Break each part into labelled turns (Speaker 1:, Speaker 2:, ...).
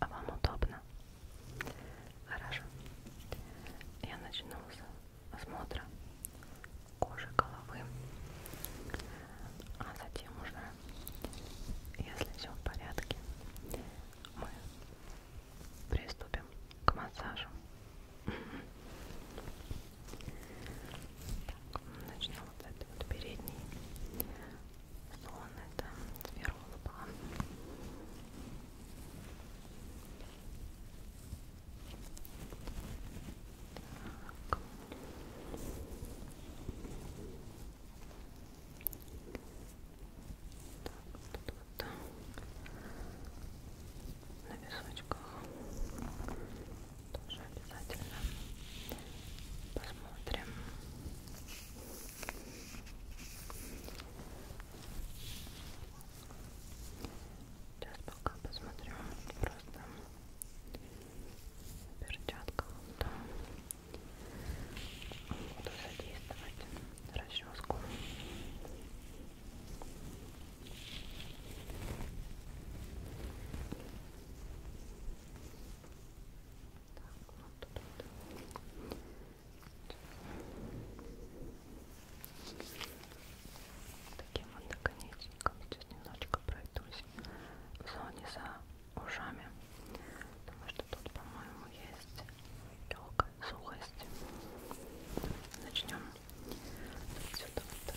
Speaker 1: А вам удобно? Хорошо. Я начну с осмотра кожи головы. А затем уже, если все в порядке, мы приступим к массажу. Так, начну вот с этой вот передней сон это сфера лба так. Так, вот вот на височках тоже обязательно посмотрим. Сейчас пока посмотрю просто в перчатках, да. Буду задействовать расческу. Сейчас так, вот тут вот. Таким вот наконечником сейчас немножечко пройдусь в зоне за ушами, потому что тут, по-моему, есть легкая сухость. Начнем отсюда вот.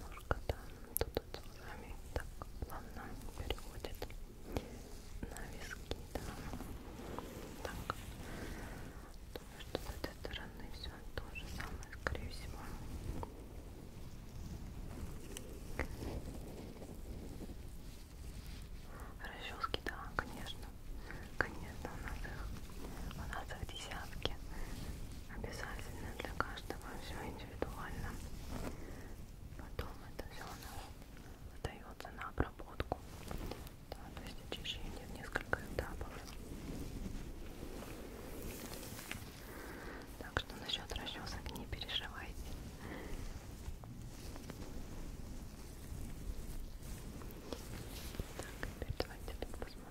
Speaker 1: Ножка там, тут вот глазами так плавно переходит на виски, да. Так. Думаю, что с этой стороны все то же самое, скорее всего. Расчески, да, конечно. Конечно, у нас их, у нас их десятки обязательно для каждого все индивидуально. Потом это все у нас отдается на обработку. Да, то есть очищение в несколько этапов. Так что насчет расчесок не переживайте. Так, теперь давайте посмотрим.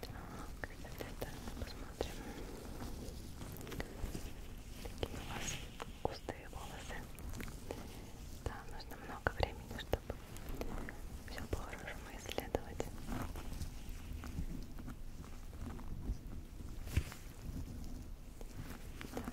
Speaker 1: Так, ребята, посмотрим. Такие у вас густые волосы. Да, нужно много времени, чтобы все по-хорошему исследовать. Так,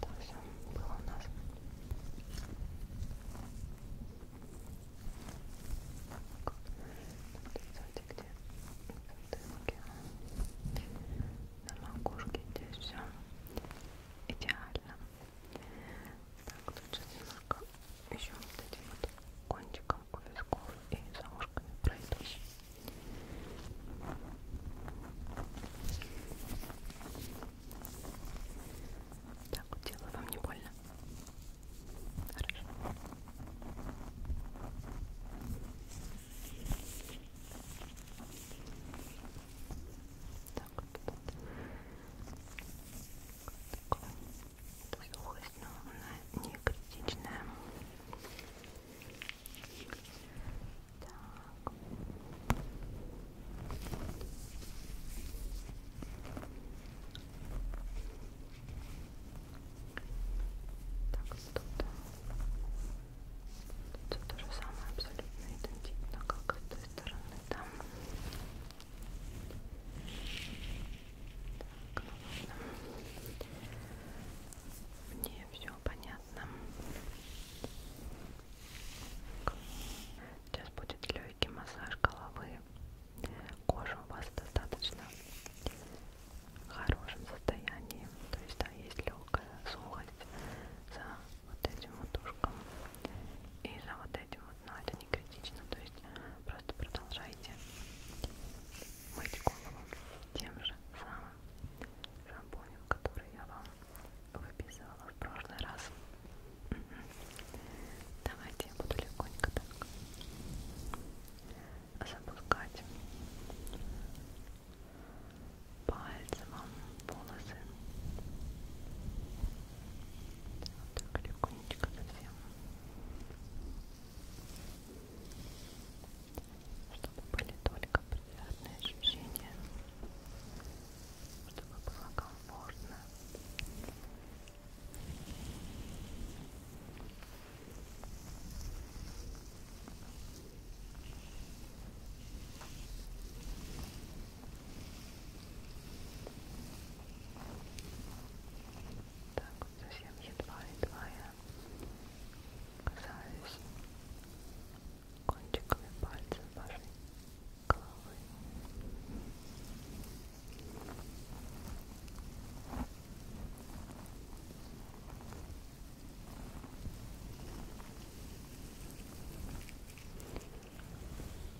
Speaker 1: Так все было у нас. Смотрите, где затылки. На макушке здесь все идеально. Так, тут сейчас немножко еще вот этим вот кончиком как у висков и за ушками пройдусь так вот делаю, вам не больно? хорошо так вот, вот. Такой сухость, но она не критичная. Так. Так, тут, э, тут то же самое абсолютно идентично, как и с той стороны там. Так. Так, ну, мне все понятно. Так. Сейчас будет легкий массаж головы. Кожа у вас достаточно в хорошем состоянии. То есть да, есть легкая сухость за вот этим вот ушком
Speaker 2: и за вот этим вот, но это не критично. То есть просто продолжайте мыть голову тем же самым шампунем, который я вам выписывала в прошлый раз. Давайте я буду легонько так запускать пальцем вам волосы. Вот так легонечко совсем чтобы были только приятные ощущения, чтобы было комфортно. Так, совсем едва-едва я касаюсь кончиками пальцев вашей головы.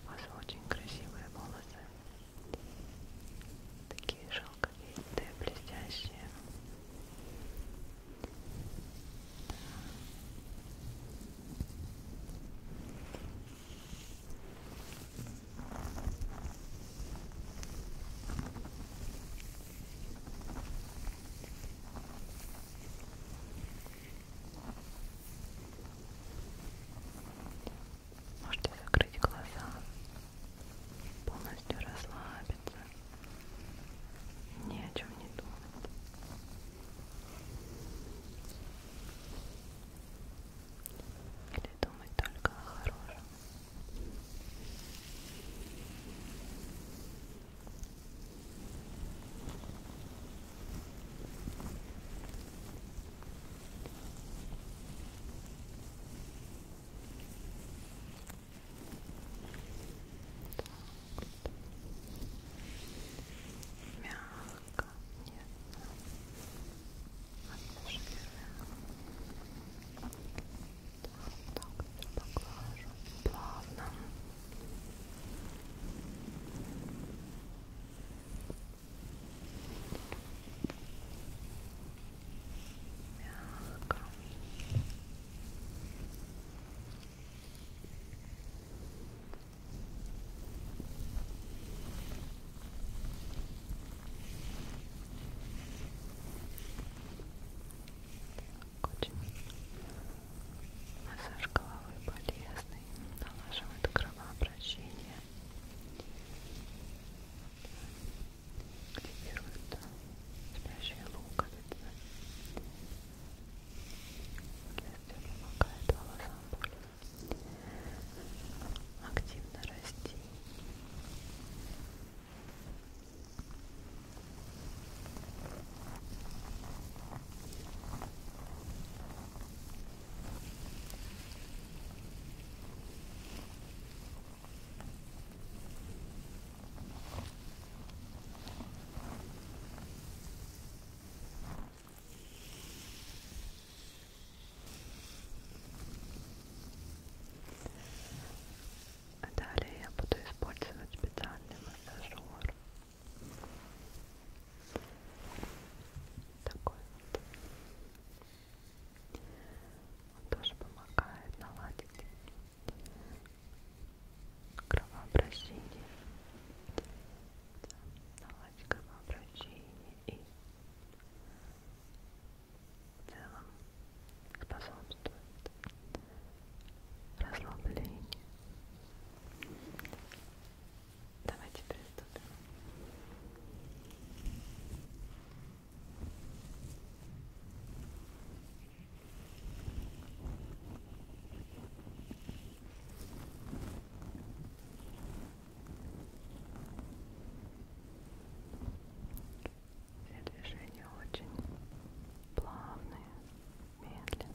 Speaker 2: У вас очень красивые волосы такие шелковистые, блестящие. Да. Можете закрыть глаза, полностью расслабиться, ни о чем не думать. Или думать только о хорошем. Сейчас Мягко, нежно, обезжиренно. Так, так, поглажу, плавно. Мягко. Очень массаж головы полезный, налаживает кровообращение, активируется спящая луковица соответственно помогает волосам более активно расти Далее я буду использовать специальный массажер такой вот. Он тоже помогает наладить кровообращение. Да, наладить кровообращение и в целом способствует расслаблению Давайте приступим. Все движения очень плавные, медленные.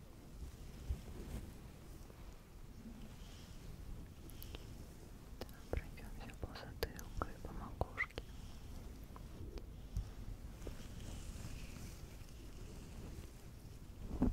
Speaker 2: Пройдемся по затылку и по макушке. Хорошо.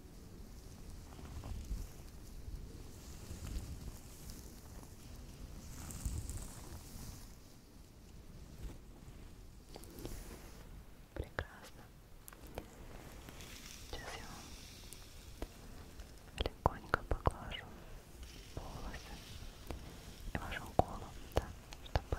Speaker 2: Прекрасно. Сейчас я вам легонько поглажу волосы и вашу голову, да, чтобы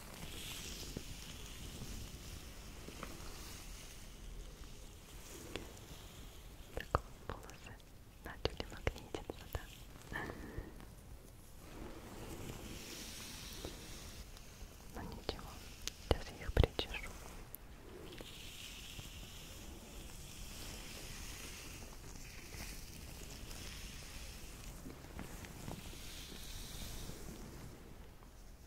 Speaker 2: Так волосы начали магнититься, да? Но ну, ничего, сейчас я их причешу. Итак,